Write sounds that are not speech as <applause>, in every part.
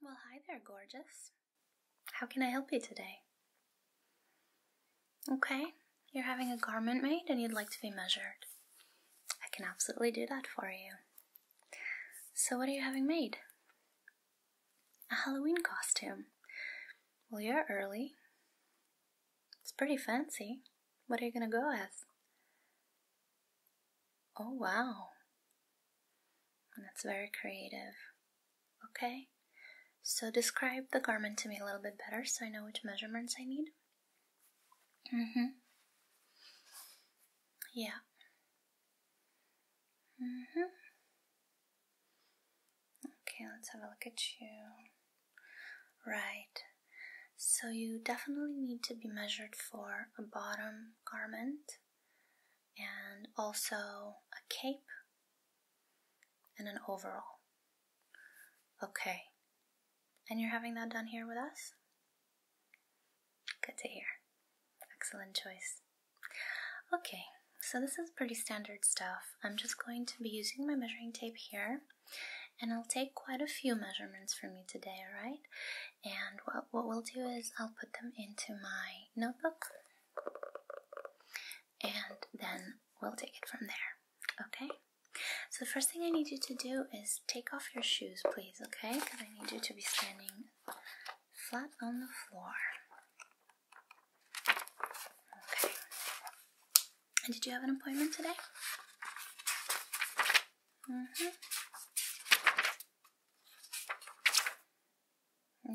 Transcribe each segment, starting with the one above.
Well, hi there, gorgeous. How can I help you today? Okay, you're having a garment made and you'd like to be measured. I can absolutely do that for you. So, what are you having made? A Halloween costume. Well, you're early. It's pretty fancy. What are you gonna go as? Oh, wow. That's very creative. Okay, so describe the garment to me a little bit better so I know which measurements I need. Mm hmm. Yeah. Mm hmm. Okay, let's have a look at you. Right. So you definitely need to be measured for a bottom garment and also a cape and an overall. Okay. And you're having that done here with us? Good to hear. Excellent choice. Okay, so this is pretty standard stuff. I'm just going to be using my measuring tape here and I'll take quite a few measurements for me today, alright? And what, what we'll do is I'll put them into my notebook and then we'll take it from there, okay? So, the first thing I need you to do is take off your shoes, please, okay? Because I need you to be standing flat on the floor. Okay. And did you have an appointment today? Mm -hmm.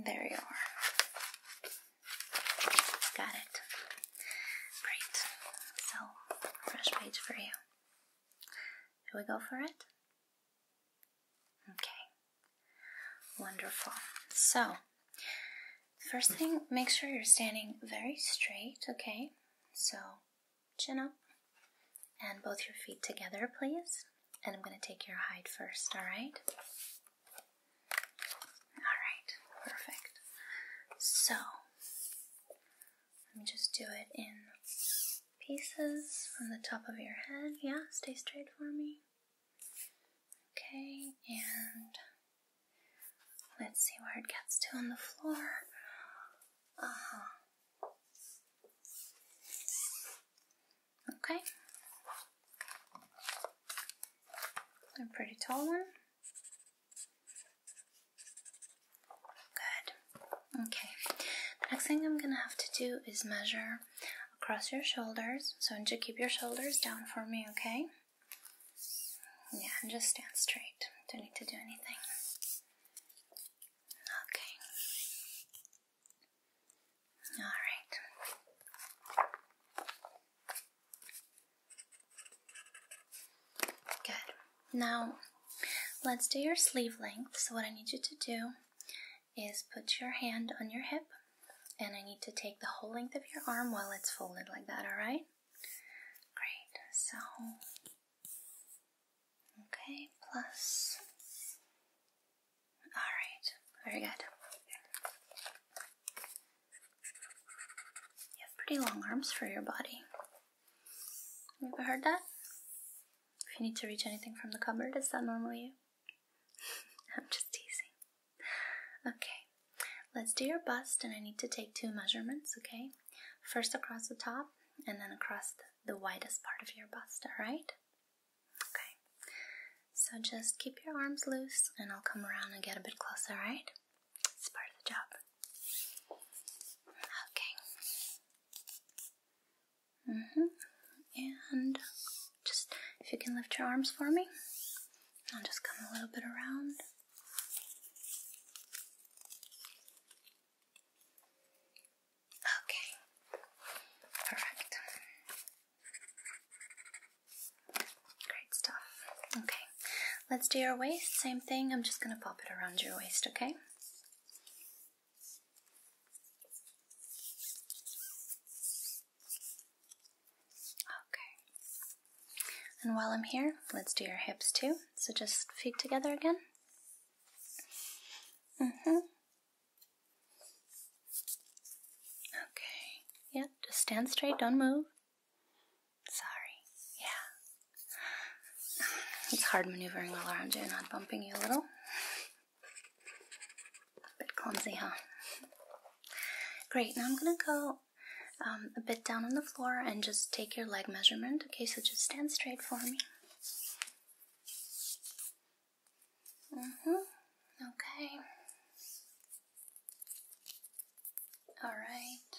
There you are. Got it. Great. So, fresh page for you. Shall we go for it? Okay. Wonderful. So, first thing, make sure you're standing very straight, okay? So, chin up, and both your feet together, please. And I'm going to take your hide first, all right? All right, perfect. So, let me just do it in pieces from the top of your head. Yeah, stay straight for me. Okay, and Let's see where it gets to on the floor. Uh -huh. Okay. A pretty tall one. Good. Okay. The next thing I'm gonna have to do is measure across your shoulders. So, and you keep your shoulders down for me, okay? Yeah, and just stand straight. Don't need to do anything. Okay. Alright. Good. Now, let's do your sleeve length. So, what I need you to do is put your hand on your hip, and I need to take the whole length of your arm while it's folded like that, alright? Great, so okay, plus all right, very good. You have pretty long arms for your body. You ever heard that? If you need to reach anything from the cupboard, is that normal? you? <laughs> I'm just teasing. Okay let's do your bust, and I need to take two measurements, okay? First across the top, and then across the, widest part of your bust, alright? Okay, so just keep your arms loose, and I'll come around and get a bit closer, alright? It's part of the job. Okay. hmm. And just if you can lift your arms for me, I'll just come a little bit around. Okay, perfect. Great stuff. Okay, let's do your waist. Same thing, I'm just gonna pop it around your waist, okay? Okay, and while I'm here, let's do your hips too. So just feet together again. Mm-hmm. Okay. Yep, yeah, just stand straight, don't move. Sorry. Yeah. It's hard maneuvering all around you and I'm bumping you a little. A bit clumsy, huh? Great, now I'm gonna go um, a bit down on the floor and just take your leg measurement. Okay, so just stand straight for me. hmm. Okay. All right.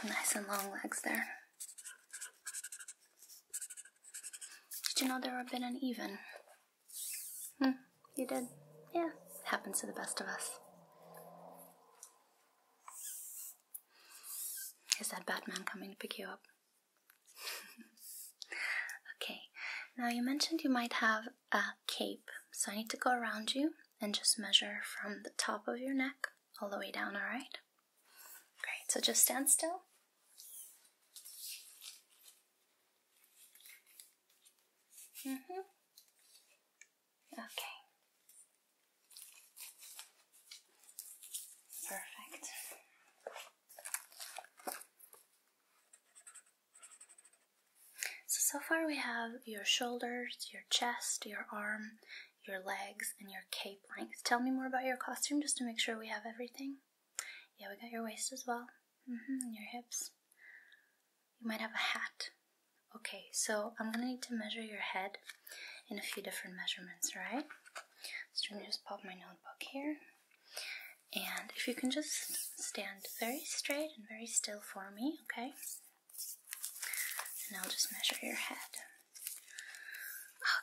Okay. Nice and long legs there. Did you know they were a bit uneven? Hmm, you did. Yeah, happens to the best of us. Is that Batman coming to pick you up? <laughs> okay, now you mentioned you might have a cape, so I need to go around you and just measure from the top of your neck all the way down, alright? Great, so just stand still. Mm hmm. Okay. Perfect. So, so far we have your shoulders, your chest, your arm, your legs, and your cape length. Tell me more about your costume just to make sure we have everything. Yeah, we got your waist as well. -hmm, your hips. You might have a hat. Okay, so I'm gonna need to measure your head in a few different measurements, right? So I'm just pop my notebook here. And if you can just stand very straight and very still for me, okay? And I'll just measure your head.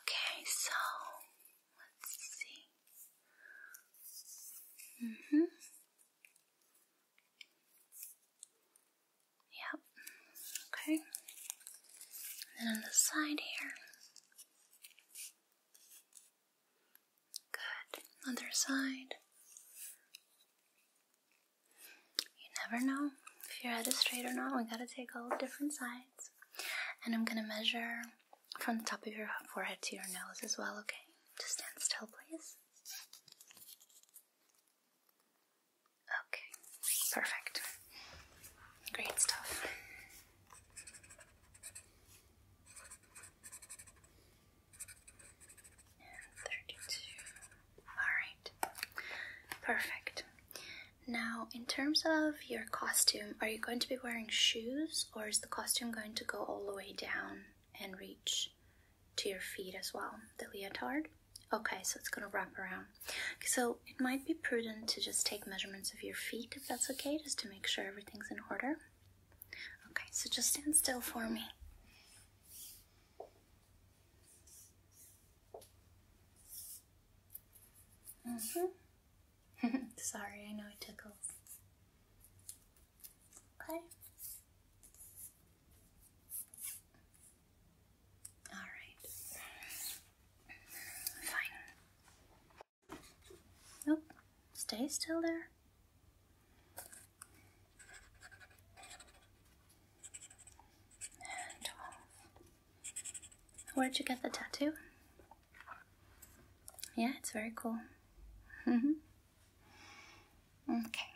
Okay, so Let's see. Mhm. yep. Okay. And on the side here. Good. Other side. You never know if you're at straight or not. We gotta take all different sides. And I'm gonna measure from the top of your forehead to your nose as well, okay? Just stand still, please. Okay, perfect. Great stuff. 32. Alright, perfect. Now, in terms of your costume, are you going to be wearing shoes or the costume going to go all the way down and reach to your feet as well, the leotard? Okay, so it's gonna wrap around. So it might be prudent to just take measurements of your feet if that's okay, just to make sure everything's in order. Okay, so just stand still for me. Mm -hmm. <laughs> Sorry, I know it tickles. Okay. Alright. Fine. Nope. stay still there. And uh, Where'd you get the tattoo? yeah, it's very cool. Mm-hmm. okay.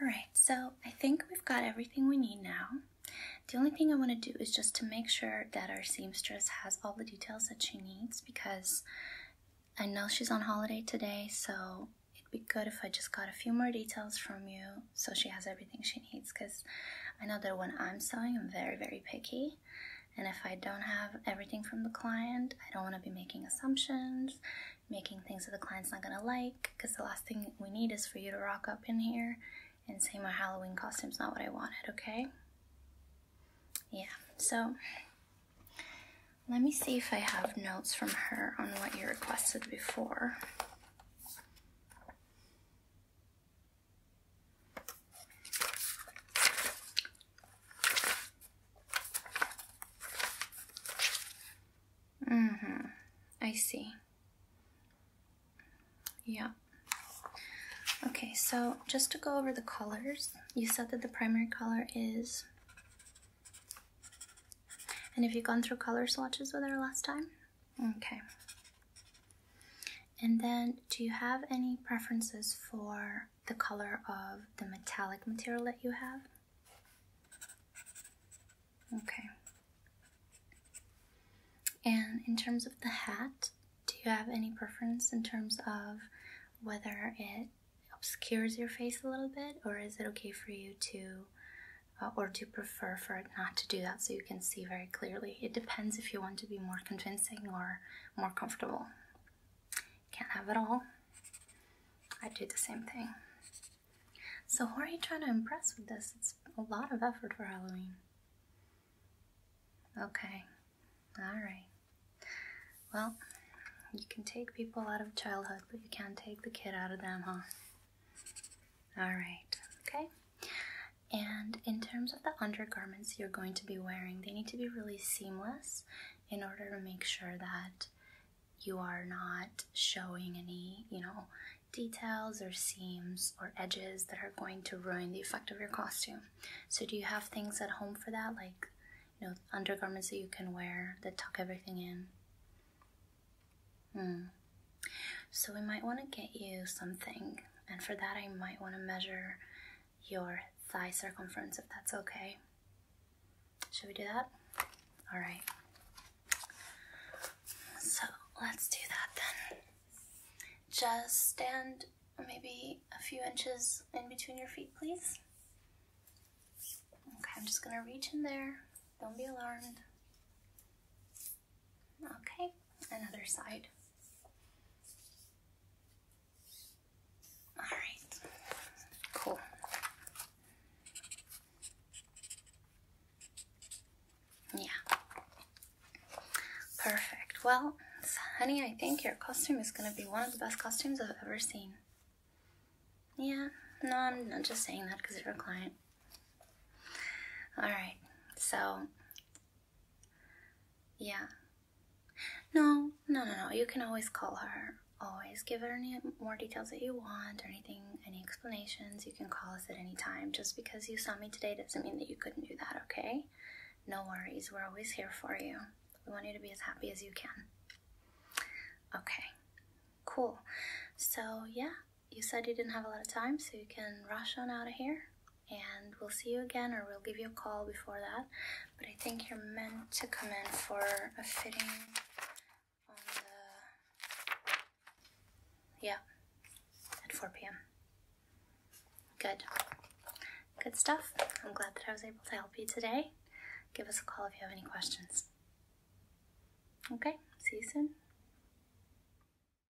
Alright, so I think we've got everything we need now. The only thing I want to do is just to make sure that our seamstress has all the details that she needs because I know she's on holiday today, so it'd be good if I just got a few more details from you so she has everything she needs because I know that when I'm sewing, I'm very, very picky and if I don't have everything from the client, I don't want to be making assumptions, making things that the client's not going to like, because the last thing we need is for you to rock up in here and say my Halloween costume's not what I wanted, okay? Yeah, so let me see if I have notes from her on what you requested before. Mm-hmm. I see. Yeah. Okay, so just to go over the colors, you said that the primary color is... And if you gone through color swatches with her last time? Okay. And then, do you have any preferences for the color of the metallic material that you have? Okay. And in terms of the hat, do you have any preference in terms of whether it obscures your face a little bit, or is it okay for you to, uh, or to prefer for it not to do that so you can see very clearly? It depends if you want to be more convincing or more comfortable. Can't have it all. I do the same thing. So who are you trying to impress with this? It's a lot of effort for Halloween. Okay. Alright. Well, you can take people out of childhood, but you can't take the kid out of them, huh? Alright. Okay. And in terms of the undergarments you're going to be wearing, they need to be really seamless in order to make sure that you are not showing any, you know, details or seams or edges that are going to ruin the effect of your costume. So do you have things at home for that like, you know, undergarments that you can wear that tuck everything in? Hmm. So we might want to get you something and for that, I might want to measure your thigh circumference if that's okay. Should we do that? All right. So let's do that then. Just stand maybe a few inches in between your feet, please. Okay, I'm just going to reach in there. Don't be alarmed. Okay, another side. All right, cool. Yeah, perfect. Well, honey, I think your costume is gonna be one of the best costumes I've ever seen. Yeah, no, I'm not just saying that because you're a client. All right, so yeah. No, no, no, no. You can always call her. Always give her any more details that you want, or anything, any explanations. You can call us at any time. Just because you saw me today doesn't mean that you couldn't do that, okay? No worries. We're always here for you. We want you to be as happy as you can. Okay, cool. So, yeah, you said you didn't have a lot of time, so you can rush on out of here and we'll see you again or we'll give you a call before that. But I think you're meant to come in for a fitting yeah at 4 p.m. Good. Good stuff. I'm glad that I was able to help you today. Give us a call if you have any questions. Okay, see you soon.